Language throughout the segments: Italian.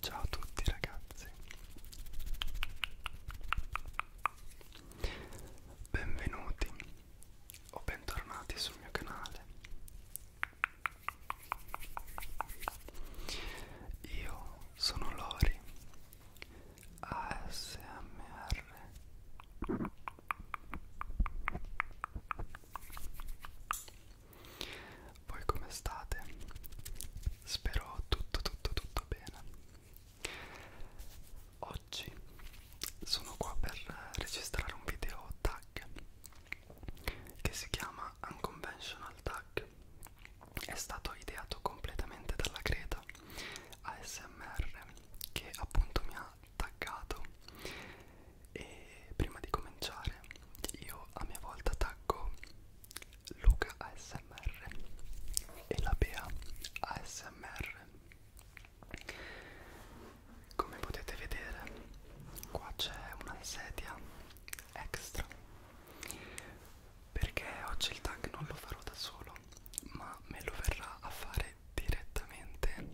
Ciao a tutti ragazzi Benvenuti o bentornati sul mio canale Io sono Lori ASMR voi come state? Spero tutto tutto tutto bene. Oggi sono qua per registrare un video tag che si chiama Unconventional Tag. È stato ideato completamente dalla Greta ASMR che appunto mi ha taggato e prima di cominciare io a mia volta taggo Luca ASMR e la Bea ASMR come potete vedere qua c'è una sedia extra perché oggi il tag non lo farò da solo ma me lo verrà a fare direttamente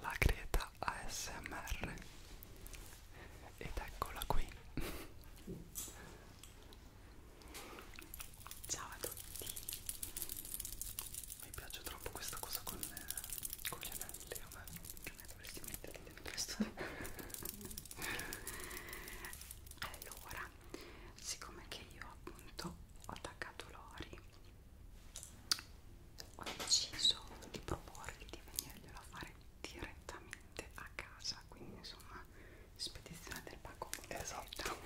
la Greta ASMR ed eccola qui ciao a tutti mi piace troppo questa cosa con, eh, con gli anelli a me eh, dovresti metterli dentro questo allora siccome che io appunto ho attaccato Lori ho deciso di proporgli di venirglielo a fare direttamente a casa quindi insomma spedizione del pacco esatto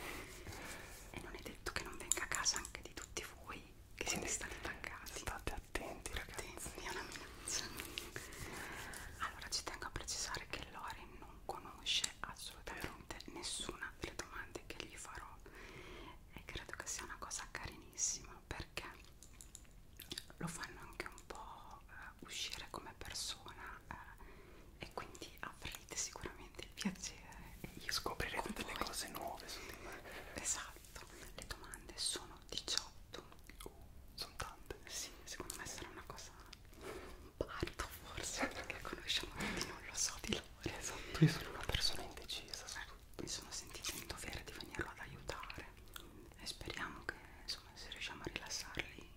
e non è detto che non venga a casa anche di tutti voi che quindi siete stati taggati state attenti ragazzi attenti, è una minaccia allora ci tengo a precisare che Lore non conosce assolutamente Vero. nessuna delle domande che gli farò e credo che sia una cosa carinissima perché lo fanno anche un po' eh, uscire come persona eh, e quindi avrete sicuramente il piacere e io scoprirete delle voi. cose nuove su di me esatto le domande sono 18 uh, sono tante sì secondo me sarà una cosa parto forse perché conosciamo tutti non lo so di loro esatto io sono una persona indecisa su eh, tutto. mi sono sentita in dovere di venirlo ad aiutare e speriamo che insomma se riusciamo a rilassarli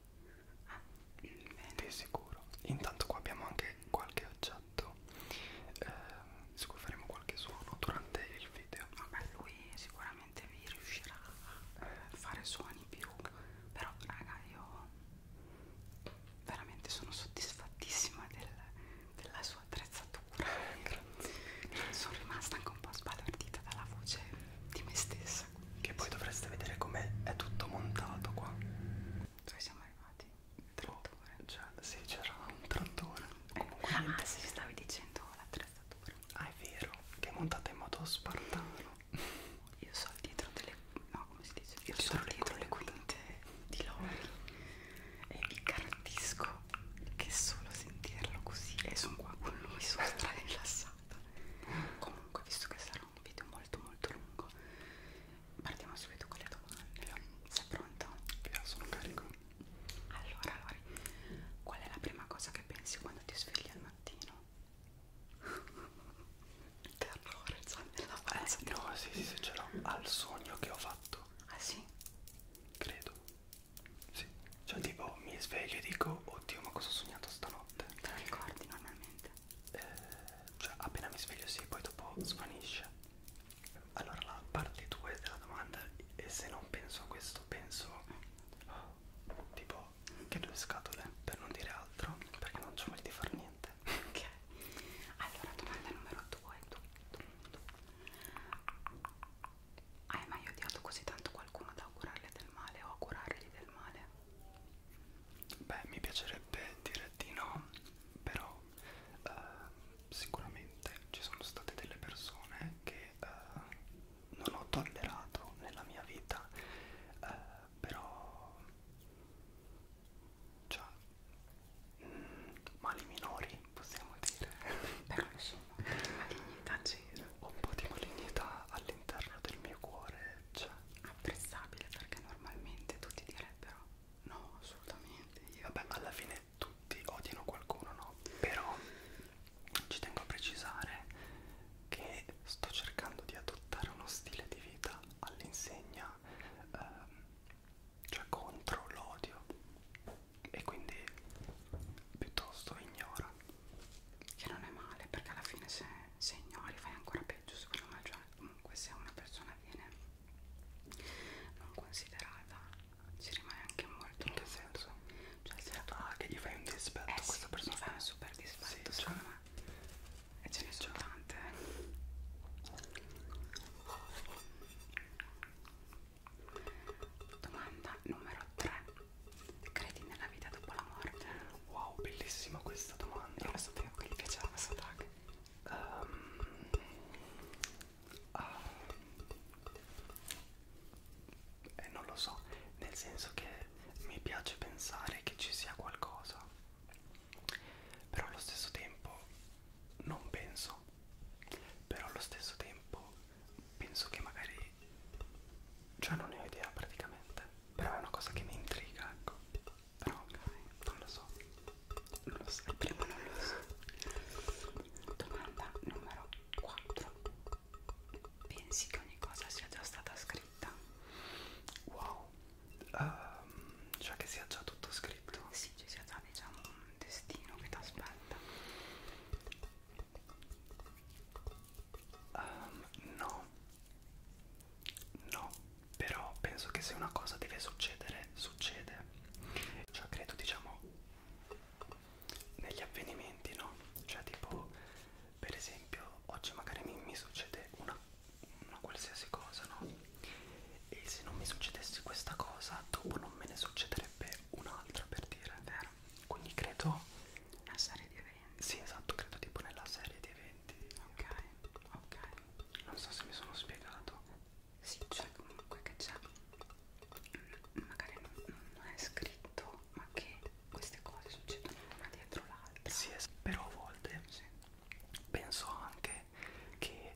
eh, bene. Di sicuro. Intanto qua abbiamo anche qualche oggetto eh, su cui faremo qualche suono durante il video. Vabbè lui sicuramente vi riuscirà a fare suoni più però raga io veramente sono soddisfattissima del, della sua attrezzatura sono rimasta anche un po' sbalordita dalla voce di me stessa. Che poi dovreste vedere com'è è tutto montato qua. Dove siamo arrivati? Il boh, trattore. Oh, cioè, sì, c'era un trattore. Eh, Comunque, ah, niente. sì, stavi dicendo l'attrezzatura. Ah, è vero, che è montata in modo spartano. Io so dietro delle. No, come si dice? Io, Io so dietro le quinte di Lori e vi garantisco che solo sentirlo così e eh, sono qua con lui sono stra rilassata comunque visto che sarà un video molto molto lungo partiamo subito con le domande yeah. sei pronto? Yeah, sono carico allora Lori qual è la prima cosa che pensi quando ti svegli al mattino? terrore cioè nella faccia eh, no sì sì se ce l'ho al sogno che ho fatto ah sì? credo sì. Cioè tipo mi sveglio e dico oddio ma cosa ho sognato stanotte? Te lo ricordi normalmente? Eh, cioè appena mi sveglio sì, poi dopo svanisce. Allora la parte 2 della domanda e se non penso a questo penso oh, tipo che due scatole per non dire altro perché non c'ho voglia di far niente. Ok. Allora domanda numero 2. Hai mai odiato così tanto qualcuno da augurarle del male o augurargli del male? Beh, mi piacerebbe dire di no, però eh, sicuramente ci sono state delle persone che eh, non ho tollerato nella mia vita, eh, però cioè, mh, mm, mali minori possiamo dire però insomma malignità c'era un po' di malignità all'interno del mio cuore c'è cioè. apprezzabile perché normalmente tutti direbbero no assolutamente io vabbè alla fine tutti odiano qualcuno no però ci tengo a precisare che sto cercando di adottare uno stile di vita all'insegna ehm, cioè contro l'odio e quindi piuttosto ignora che non è male perché alla fine se, se ignori fai ancora peggio secondo me cioè comunque se una persona viene non considerata ci rimane anche molto in che senso? Cioè, se ah che gli fai un dispetto eh, a questa sì, persona gli fai un super dispetto sì, secondo cioè. me e ce sì, ne sono cioè. tante Domanda numero 3. Credi nella vita dopo la morte? Wow, bellissima questa domanda. Io lo sapevo che gli piaceva questo tag. Um, uh, eh, non lo so, nel senso che mi piace pensare che ci sia qualcosa, però allo stesso tempo non penso, però allo stesso tempo penso che magari cioè non ne ho idea praticamente però è una cosa che mi intriga ecco però ok non lo so non lo so prima non lo so domanda numero 4 pensi che ogni cosa sia già stata scritta wow um, cioè che sia già tutto scritto sì ci sia già diciamo destino che ti aspetta um, ehm, no no però penso che se una cosa deve succedere succede cioè credo diciamo negli avvenimenti no cioè tipo per esempio oggi magari mi, mi succede una, una qualsiasi cosa no e se non mi succedesse questa cosa dopo non me ne succederebbe un'altra per dire vero quindi credo una serie di eventi sì esatto credo tipo nella serie di eventi ok ok non so se mi sono spiegato sì cioè comunque che c'è mm, magari non, non è scritto ma che queste cose succedono una dietro l'altra sì però a volte sì. penso anche che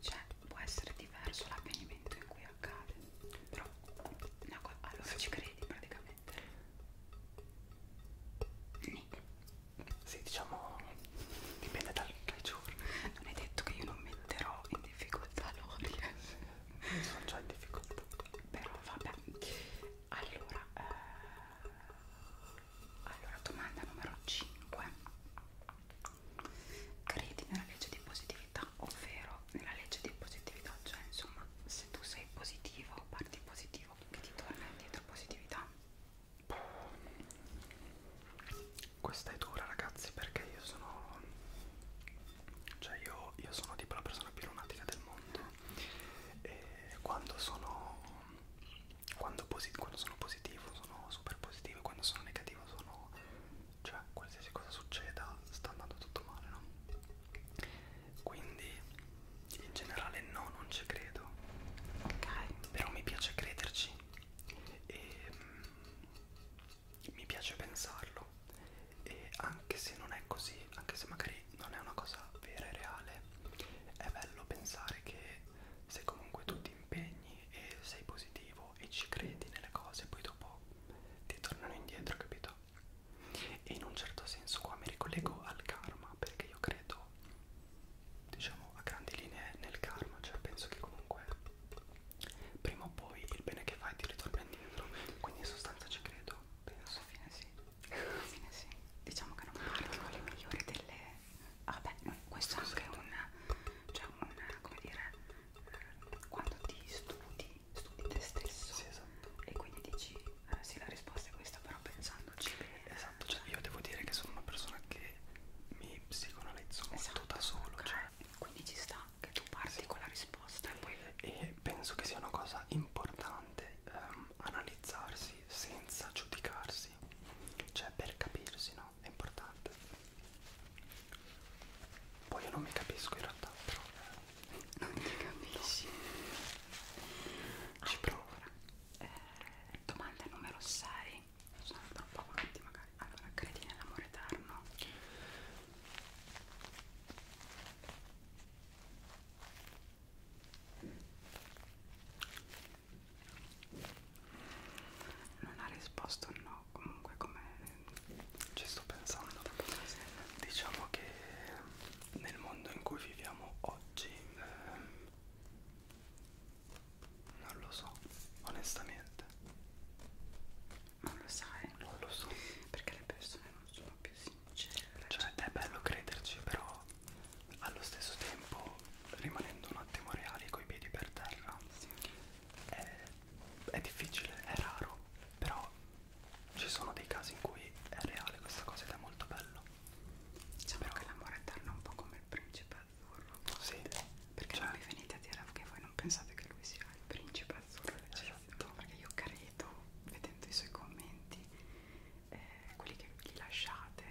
cioè può essere diverso l'avvenimento in cui accade però no, allora ci credi praticamente niente sì diciamo dipende dal, dal giorno non è detto che io non metterò in difficoltà Lori eh. sono già in difficoltà però vabbè allora eh... allora domanda numero 5 credi nella legge di positività, ovvero nella legge di positività, cioè insomma se tu sei positivo, parti positivo, che ti torna indietro positività. Questa è dura ragazzi perché io sono... cioè io, io sono tipo la persona più lunatica del mondo e quando sono... Quando, posi quando sono positivo sono super positivo e quando sono negativo sono cioè qualsiasi cosa succeda sta andando tutto male, no? Quindi in generale no, non ci credo. Ok. Però mi piace crederci e mm, mi piace pensarlo. E anche se non è così, anche se magari non è una cosa vera e reale, è bello pensare che se comunque tu ti impegni e sei positivo bravo e ci credi nelle cose poi dopo ti tornano indietro capito e in un certo senso qua mi ricollego al karma perché io credo diciamo a grandi linee nel karma cioè penso che comunque prima o poi il bene che fai ti ritorna indietro quindi in sostanza ci credo penso alla fine sì alla fine sì diciamo che non parti con le migliori delle vabbè ah, questo è anche un cioè un come dire quando ti studi, studi te stesso sì, esatto. e quindi dici eh, sì la risposta è questa però pensandoci bene esatto cioè io devo dire che sono una persona che mi psicoanalizzo esatto, molto da solo okay. cioè. quindi ci sta che tu parti sì. con la risposta e poi e penso che sia una cosa importante um, analizzarsi senza giudicarsi cioè per capirsi no no, è importante. Poi io non mi capisco in realtà, però... Non ti capisci? No. Ci allora, provo. Eh, domanda numero 6. Sono troppo avanti magari. Allora, credi nell'amore eterno? non ha risposto no comunque come ci sto pensando diciamo che nel mondo in cui viviamo oggi ehm, non lo so onestamente non lo sai non lo so perché le persone non sono più sincere cioè è bello crederci però allo stesso tempo rimanendo un attimo reali coi piedi per terra sì è, è difficile, è raro, però ci sono dei casi in cui è reale questa cosa ed è molto bello. Diciamo però... che l'amore eterno è un po' come il principe azzurro. Sì. Perché cioè... non vi venite a dire che voi non pensate che lui sia il principe azzurro esatto. Perché io credo, vedendo i suoi commenti, eh, quelli che gli lasciate,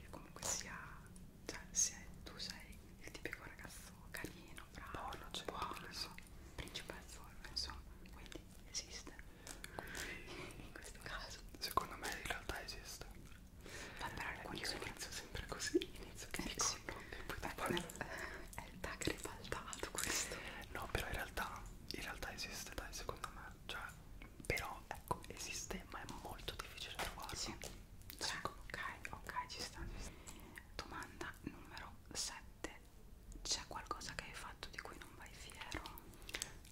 che comunque sia cioè se tu sei il tipico ragazzo carino, bravo, buono, cioè, buono principezzo, insomma, quindi esiste in questo caso secondo me in realtà esiste ma per alcuni io sono... inizio sempre così inizio che eh, dico sì. no, e poi Beh, poi... Eh, è il tag ribaltato questo no però in realtà in realtà esiste dai secondo me cioè però ecco esiste ma è molto difficile trovarlo sì 3 ok ok ci sta domanda numero 7 c'è qualcosa che hai fatto di cui non vai fiero?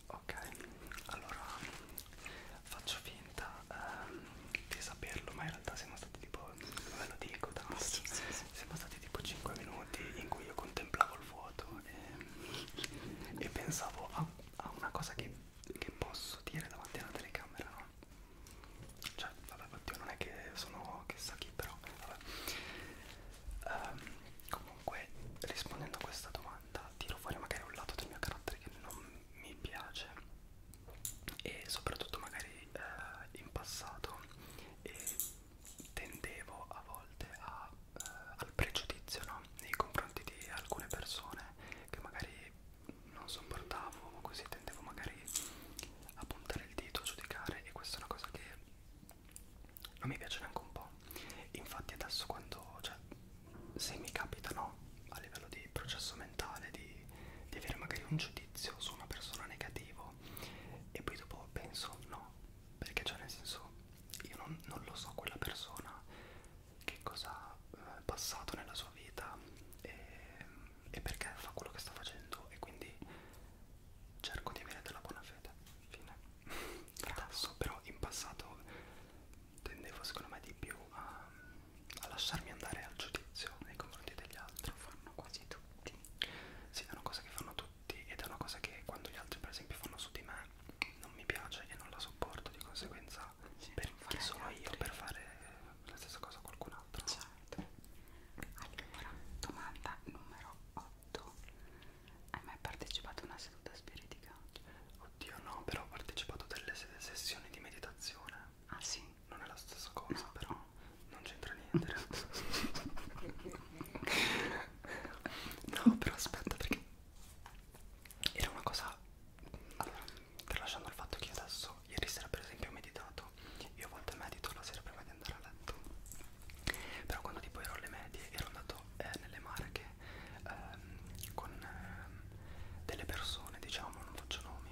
ok allora faccio finta ehm, di saperlo ma in realtà siamo stati tipo ve lo dico da ah, sì, sì, sì. siamo stati tipo 5 minuti in cui io contemplavo il vuoto e, e pensavo a, a una cosa che, che posso dire davanti alla telecamera no? Cioè, vabbè, oddio, non è che sono chissà chi, però vabbè. Um, comunque, rispondendo a questa domanda, tiro fuori magari un lato del mio carattere che non mi piace e soprattutto magari eh, in passato e tendevo a volte a, eh, al pregiudizio no? nei confronti di alcune persone che magari non sopportavo così tendevo magari a puntare il dito a giudicare e questa è una cosa che non mi piace neanche un po' infatti adesso quando cioè se mi capita no a livello di processo mentale di, di avere magari un giudizio su una persona negativo e poi dopo penso no perché cioè nel senso io non, non lo so quella persona che cosa ha eh, passato nella sua vita e, e perché fa quello che sta facendo e quindi cerco di avere della buona fede fine adesso però in passato tendevo secondo me di più a, a lasciarmi andare al giudizio nei confronti degli altri fanno quasi tutti sì è una cosa che fanno tutti ed è una cosa che quando gli altri per esempio fanno su di me non mi piace e non la sopporto di conseguenza sì, perché sono io per fare la stessa cosa a qualcun altro. Certo. Allora, domanda numero 8. Hai mai partecipato a una seduta spiritica? Oddio no, però ho partecipato a delle sessioni di meditazione. Ah sì? Non è la stessa cosa, no. però non c'entra niente. no, però aspetta perché era una cosa... Allora, tralasciando il fatto che io adesso ieri sera per esempio ho meditato io a volte medito la sera prima di andare a letto però quando tipo ero alle medie ero andato eh, nelle Marche ehm, con ehm, delle persone diciamo non faccio nomi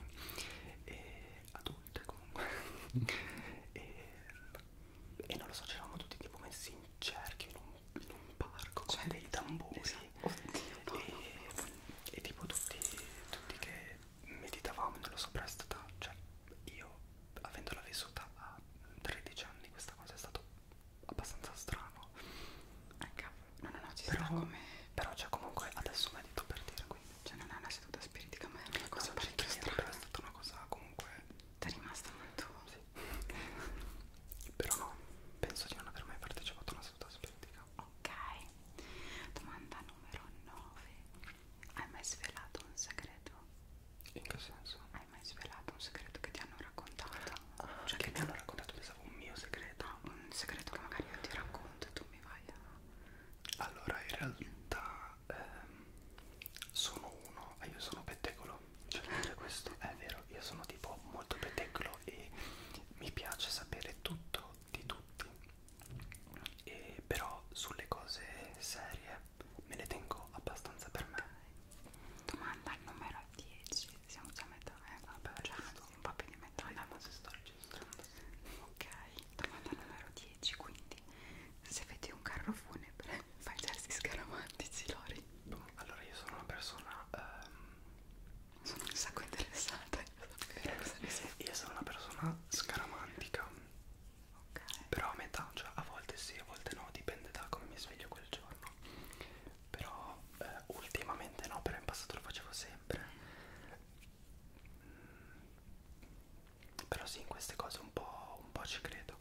e adulte comunque e, e non lo so c'eravamo tutti tipo messi in cerchio in un, in un parco con cioè, dei tamburi esatto Oddio, e, e tipo tutti, tutti che meditavamo nello soprastata, cioè io avendola vissuta a 13 anni questa cosa è stato abbastanza strano. Ah cavolo, no no no, ci però, sta come... Però cioè comunque adesso medito per dire quindi. Cioè non è una seduta spiritica ma è una cosa no, cioè, parecchio strana. Però è stata una cosa comunque... Ti è rimasta molto... Sì. però no, penso di non aver mai partecipato a una seduta spiritica ok? Domanda numero 9. Hai mai svelato un segreto? In che senso? Hai mai svelato un segreto che ti hanno raccontato? Ah, cioè che mi hanno raccontato pensavo un mio segreto. No, un segreto che magari io ti racconto e tu mi vai a... Allora, in realtà ehm, sono uno, io sono pettegolo. Cioè, questo è vero, io sono tipo molto pettegolo farlo e mi piace sapere tutto di tutti e però sulle cose serie me le tengo abbastanza per me domanda numero 10 siamo già a metà eh? vabbè già un po' più di metà ma se sto registrando ok domanda numero 10 quindi se vedi un carro funebre fai gesti scaramantici Lori boh, allora io sono una persona ehm, sono un sacco interessata eh, Io sono una persona scaramantica okay. Però a metà, cioè a volte sì, a volte no Dipende da come mi sveglio quel giorno Però eh, ultimamente no, però in passato lo facevo sempre mm, Però sì, in queste cose un po', un po' ci credo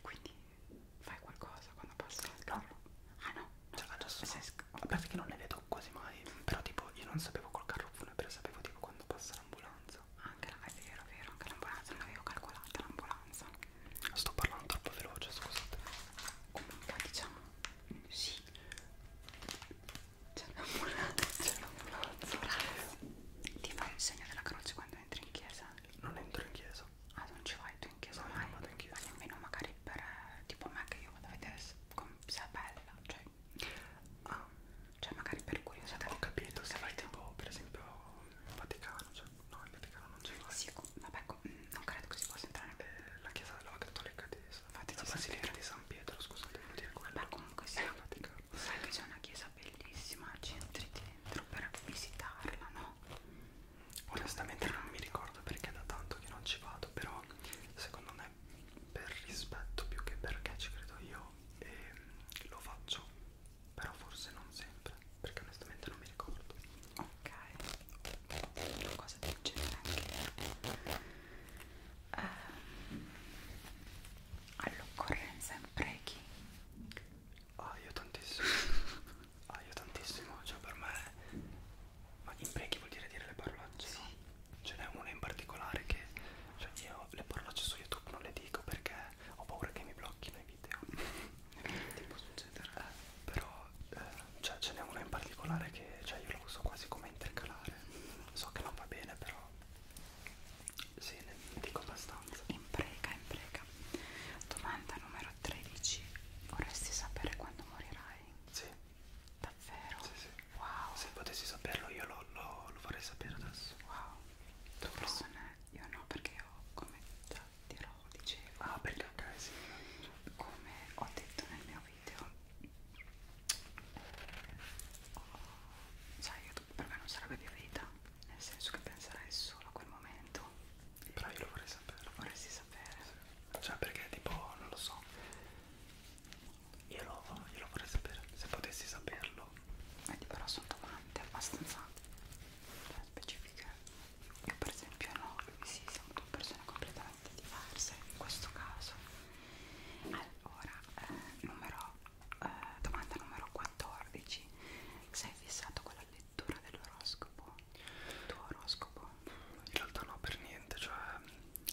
Quindi fai qualcosa quando passa? No Ah no? no. Cioè adesso no. Vabbè perché non ne vedo capitato quasi mai però tipo io non sapevo col carro funebra sapevo tipo quando passa l'ambulanza anche la è vero vero anche l'ambulanza non avevo calcolata l'ambulanza sto parlando troppo veloce scusate comunque diciamo sì c'è l'ambulanza c'è l'ambulanza ti fai il segno della croce quando entri in chiesa non entro in chiesa ah non ci vai tu in chiesa no, mai non vado in chiesa ma nemmeno magari per eh, tipo me che io vado a vedere se come sia bella cioè, ah, cioè magari per curiosità ho capito se vai tipo per esempio in Vaticano cioè, no in Vaticano non c'è mai sì, ecco, vabbè ecco, mm, non credo che si possa entrare eh, la chiesa della cattolica di infatti la basilica di San Pietro scusate devo dire quello beh comunque sì in Vaticano sai che c'è una chiesa bellissima ci entri dentro per visitarla no onestamente non mi ricordo perché da tanto che non ci vado fatto però secondo me per rispetto più che perché ci credo io ehm, lo faccio però forse non sempre perché onestamente non mi ricordo ok una cosa del genere anche ehm, all'occorrenza imprechi ah io tantissimo ah io tantissimo cioè per me ma imprechi vuol dire dire le parolacce? Sì. No? Ce n'è una in particolare che cioè io le parolacce su YouTube non le dico perché ho paura che mi blocchino i video. Che può succedere? Eh, però eh, cioè, ce n'è una in particolare che cioè, io la uso quasi come intercalare. So che non va bene, però sì, ne dico abbastanza. Imprega, imprega. Domanda numero 13. Vorresti sapere quando morirai? Sì. Davvero? Sì, sì. Wow. Se potessi saperlo io lo, lo, lo vorrei sapere adesso. Wow. Tu persone io no perché ho come già dirò dicevo. Ah perché ok sì. Come ho detto nel mio video. Oh, sai YouTube per me non sarebbe più vita. Nel senso che penserai solo a quel momento. Però io lo vorrei sapere. Vorresti sapere sapere. Cioè perché tipo, non lo so, io lo, io lo vorrei sapere, se potessi saperlo. Vedi eh, però sono domande abbastanza specifiche. Io per esempio no, lui sì, siamo due persone completamente diverse in questo caso. Allora, eh, numero, eh, domanda numero 14. Sei fissato con la lettura dell'oroscopo? Il tuo oroscopo? in realtà no per niente, cioè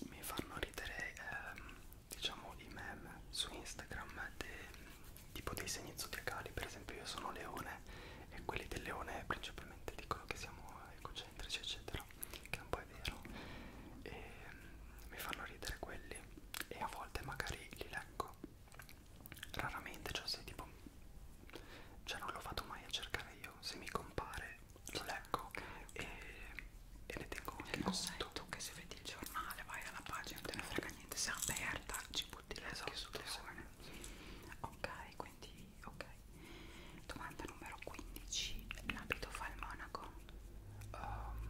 mi fanno ridere ehm, diciamo i meme su Instagram de, tipo dei segni zodiacali, per esempio io sono leone e quelli del leone principalmente dicono che siamo egocentrici eccetera, che un po' è vero e ehm, mi fanno ridere quelli e a volte magari li leggo raramente, cioè se tipo cioè non lo vado mai a cercare io, se mi compare lo ecco. leggo okay, okay. E, e ne tengo anche non conto. Sei tu che se vedi il giornale vai alla pagina, non te ne frega niente, se è aperta ci butti le esatto, sotto Ok, quindi ok. Domanda numero 15. L'abito fa il monaco? Um,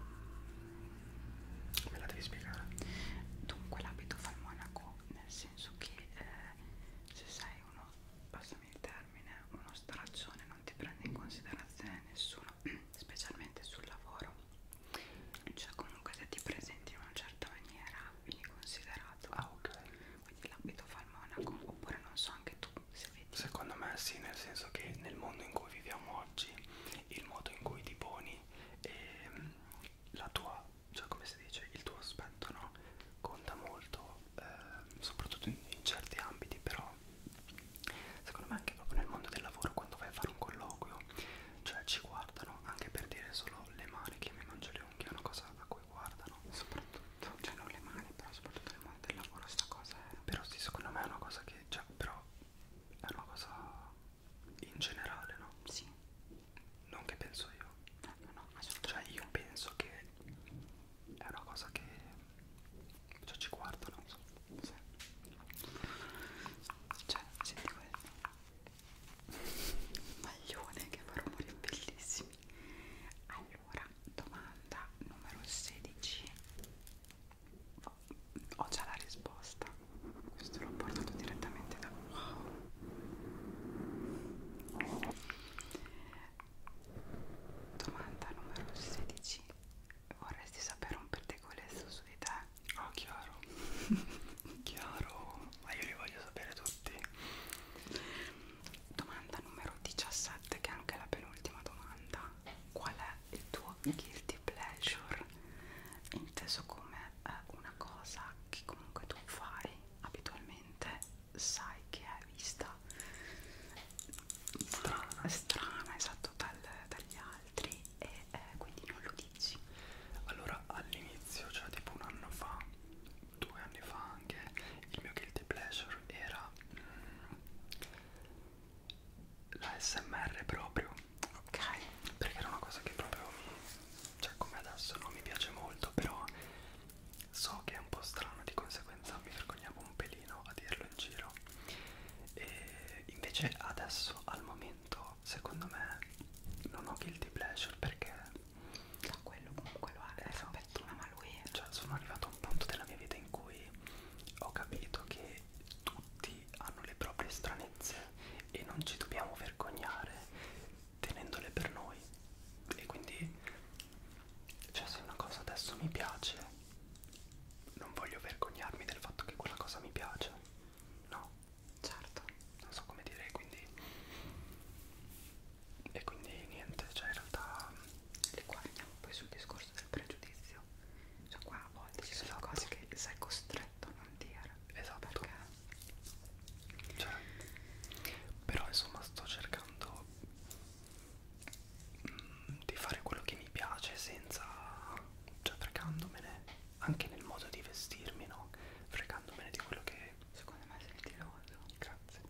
me la devi spiegare. Dunque l'abito fa il monaco nel senso che eh, se sei uno passami il termine, uno straccione non ti prende in considerazione nessuno, specialmente sul lavoro. Cioè comunque se ti presenti in una certa maniera vieni considerato. Ah ok. Quindi l'abito fa il monaco, oppure non so anche tu se vedi. Secondo me sì, nel senso che nel mondo in cui viviamo oggi, il modo in cui ti poni e ehm, la tua, cioè come si dice, il tuo aspetto, no? no? Conta molto, eh, soprattutto in, in certi ambiti, però secondo me anche proprio nel mondo del lavoro quando vai a fare un colloquio, cioè ci guardano anche per dire solo le mani che mi mangio le unghie, è una cosa a cui guardano, soprattutto, cioè non le mani, però soprattutto nel mondo del lavoro sta cosa è... Però sì, secondo me è una cosa che, cioè, però è una cosa in generale, no? Sì. Non che penso io no, no, cioè io penso che è una cosa che cioè, ci guardo, non so, sì. cioè senti questo maglione che fa rumori bellissimi. Allora, domanda numero 16. Ho già la risposta. Questo l'ho portato direttamente da wow. Domanda numero 16. Vorresti sapere un pettegolezzo su di te? Ah, chiaro. chiaro. Ma io li voglio sapere tutti. Domanda numero 17, che è anche la penultima domanda. Qual è il tuo guilty pleasure? Inteso come eh, una cosa che comunque tu fai abitualmente sai che è vista strana, strana esatto, dal, dagli altri e eh, quindi non lo dici. Allora all'inizio, cioè tipo un anno fa, due anni fa anche, il mio guilty pleasure era mm, la SMR proprio. Ok. Perché era una cosa che proprio mi... cioè come adesso non mi piace molto, però So che è un po' strano, di conseguenza mi vergognavo un pelino a dirlo in giro. E invece adesso, al momento, secondo me, non ho guilty pleasure perché... No, quello comunque lo ha, eh, esatto. per prima, ma lui è... Cioè, sono arrivato a un punto della mia vita in cui ho capito che tutti hanno le proprie stranezze e non ci dobbiamo vergognare tenendole per noi e quindi cioè se una cosa adesso mi piace non voglio vergognarmi del fatto che quella cosa mi piace no certo non so come dire quindi e quindi niente cioè in realtà e qua andiamo poi sul discorso del pregiudizio cioè qua a volte ci sono esatto. cose che sei costretto a non dire esatto perché cioè, però insomma sto cercando mh, mm, di fare quello che mi piace senza cioè fregandomene anche nel modo di vestirmi no fregandomene di quello che secondo me sei stiloso grazie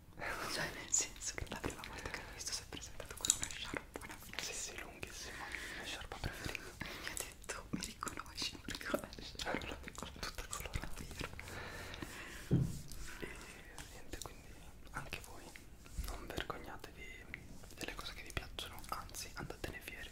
cioè nel senso che la prima volta che l'ho visto si è presentato con una sciarpona sì sì lunghissima la sciarpa preferita e mi ha detto mi riconosci perché ho la sciarpa tutta colorata dietro e niente quindi anche voi non vergognatevi delle cose che vi piacciono anzi andatene fieri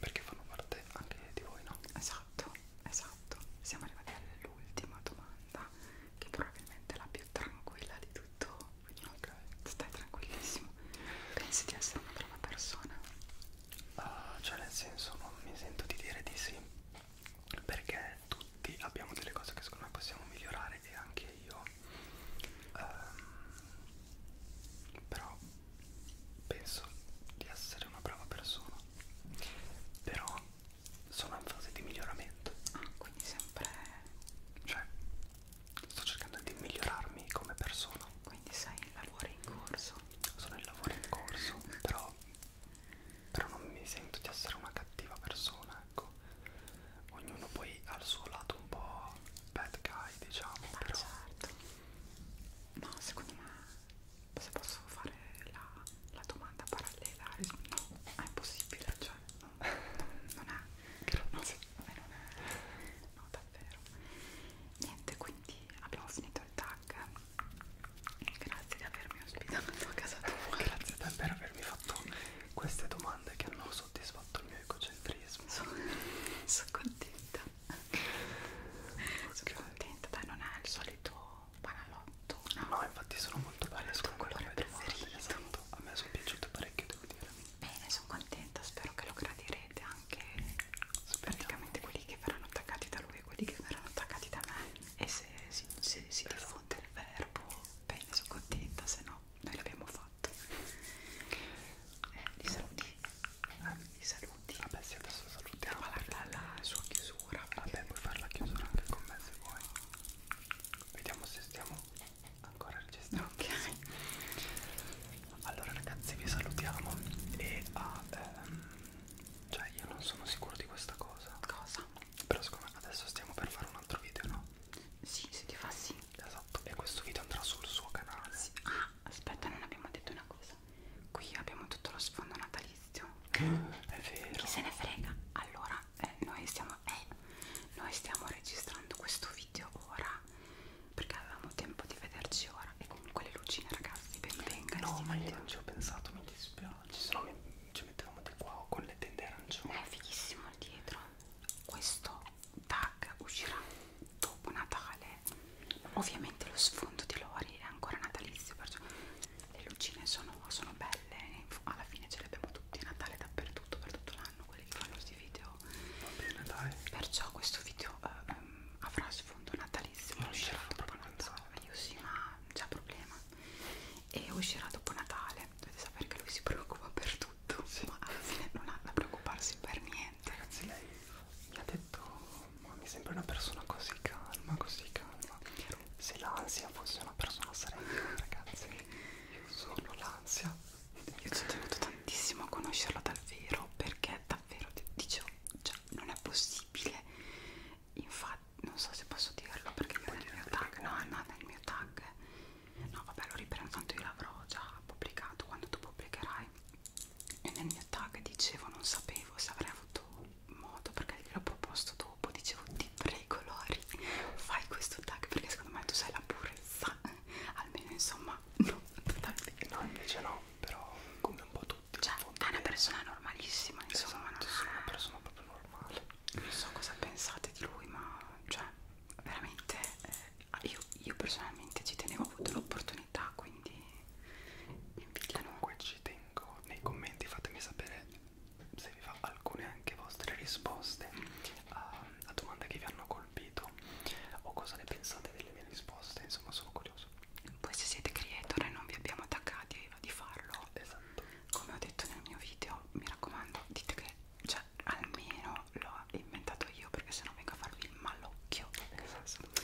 perché fanno parte anche di voi no? esatto esatto siamo arrivati all'ultima domanda che probabilmente è la più tranquilla di tutto quindi okay. stai tranquillissimo pensi di essere una brava persona? Uh, cioè nel senso non mi sento di dire di sì perché tutti abbiamo delle cose che secondo me possiamo migliorare e anche io um, però penso di essere una brava persona però sono in fase di miglioramento ah, quindi sempre cioè sto cercando di migliorarmi come persona quindi sei in lavoro in corso sono in lavoro in corso però però non mi sento di essere una cattiva persona, ecco. Ognuno poi ha il suo lato un po' bad guy, diciamo, Ma eh, però certo. No, secondo me se posso fare la, la domanda parallela, no, è impossibile, cioè no, non è. Grazie. No, non è. No, davvero. Niente, quindi abbiamo finito il tag Grazie di avermi ospitato a casa tua. Grazie te per avermi fatto queste domande che hanno soddisfatto il mio egocentrismo. Sono, sono contenta. Okay. Sono contenta, dai, non è il solito banalotto. No, no infatti sono molto belle. Il tuo colore preferito. Esatto. A me sono piaciute parecchio, devo dire. Bene, sono contenta, spero che lo gradirete anche. Speriamo. Praticamente quelli che verranno attaccati da lui e quelli che verranno attaccati da me e se, se, se si diffonde il verbo bene sono contenta se no noi l'abbiamo fatto eh, li saluti eh, ah, li saluti vabbè sì adesso salutiamo guarda la sua chiusura vabbè puoi fare la chiusura anche con me se vuoi vediamo se stiamo ancora registrando ok allora ragazzi vi salutiamo e a, ehm, cioè io non sono sicuro di questa cosa Cosa? Però secondo me adesso stiamo per fare un altro video, no? Sì, se ti fa sì Esatto, e questo video andrà sul suo canale sì. Ah, aspetta, non abbiamo detto una cosa Qui abbiamo tutto lo sfondo natalizio È vero Chi se ne frega? Allora, eh, noi, stiamo, eh, noi stiamo registrando questo video ora Perché avevamo tempo di vederci ora E comunque le lucine ragazzi, ben vengano No, ma io non ci ho pensato, mi dispiace piace, se no mi, ci mettevamo di qua con le tende arancioni. È fighissimo il dietro. Questo tag uscirà dopo Natale. Ovviamente lo sfondo di Lori è ancora natalizio, perciò le lucine sono, sono belle. Alla fine ce le abbiamo tutti a Natale dappertutto, per tutto l'anno, quelli che fanno questi video. Va bene, dai. Perciò questo video eh, avrà sfondo natalizio. Non uscirà dopo Natale. Io sì, ma c'è problema e uscirà dopo Natale dovete sapere che lui si preoccupa per tutto sì. ma alla fine non ha da preoccuparsi per niente ragazzi lei mi ha detto ma mi sembra una persona così calma così calma se l'ansia fosse una persona sarei io ragazzi io sono l'ansia io ci ho tenuto tantissimo a conoscerlo dal vero perché davvero dicevo cioè non è possibile infatti non so se posso dirlo perché io nel mio tag no è nata nel mio tag no vabbè lo riprendo tanto io l'avrò già pubblicato quando tu pubblicherai e nel mio tag dicevo non sapevo se avrei avuto modo perché gliel'ho proposto dopo dicevo ti prego Lori fai questo tag perché secondo me tu sei la purezza almeno insomma no totalmente no invece no però come un po' tu tutti. Cioè, è una persona normalissima, insomma. Esatto, sono una persona proprio normale. Non so cosa pensate di lui, ma cioè, veramente eh, io, io personalmente ci tenevo, ho avuto l'opportunità, quindi invidiano. Comunque ci tengo nei commenti, fatemi sapere se vi fa alcune anche vostre risposte a, a domande che vi hanno colpito o cosa ne pensate delle mie risposte, insomma sono curioso poi se siete creator e non vi abbiamo attaccati di farlo esatto. come ho detto nel mio video mi raccomando dite che cioè, almeno l'ho inventato io perché sennò vengo a farvi il malocchio esatto.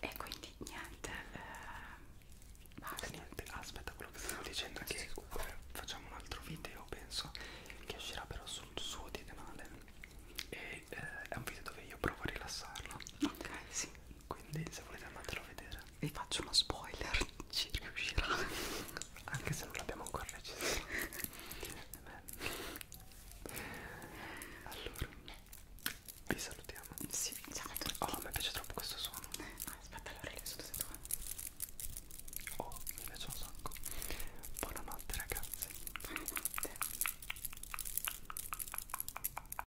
e quindi niente eh, basta niente aspetta quello che stavo dicendo è sì, che scusa. facciamo un altro video penso che uscirà però sul suo di canale e eh, è un video dove io provo a rilassarlo ok sì quindi se volete andatelo a vedere vi faccio uno spoiler ci riuscirà anche se non l'abbiamo ancora registrato eh allora vi salutiamo sì, oh mi piace troppo questo suono eh, aspetta allora lì sotto sei tu oh mi piace un sacco buonanotte ragazzi buonanotte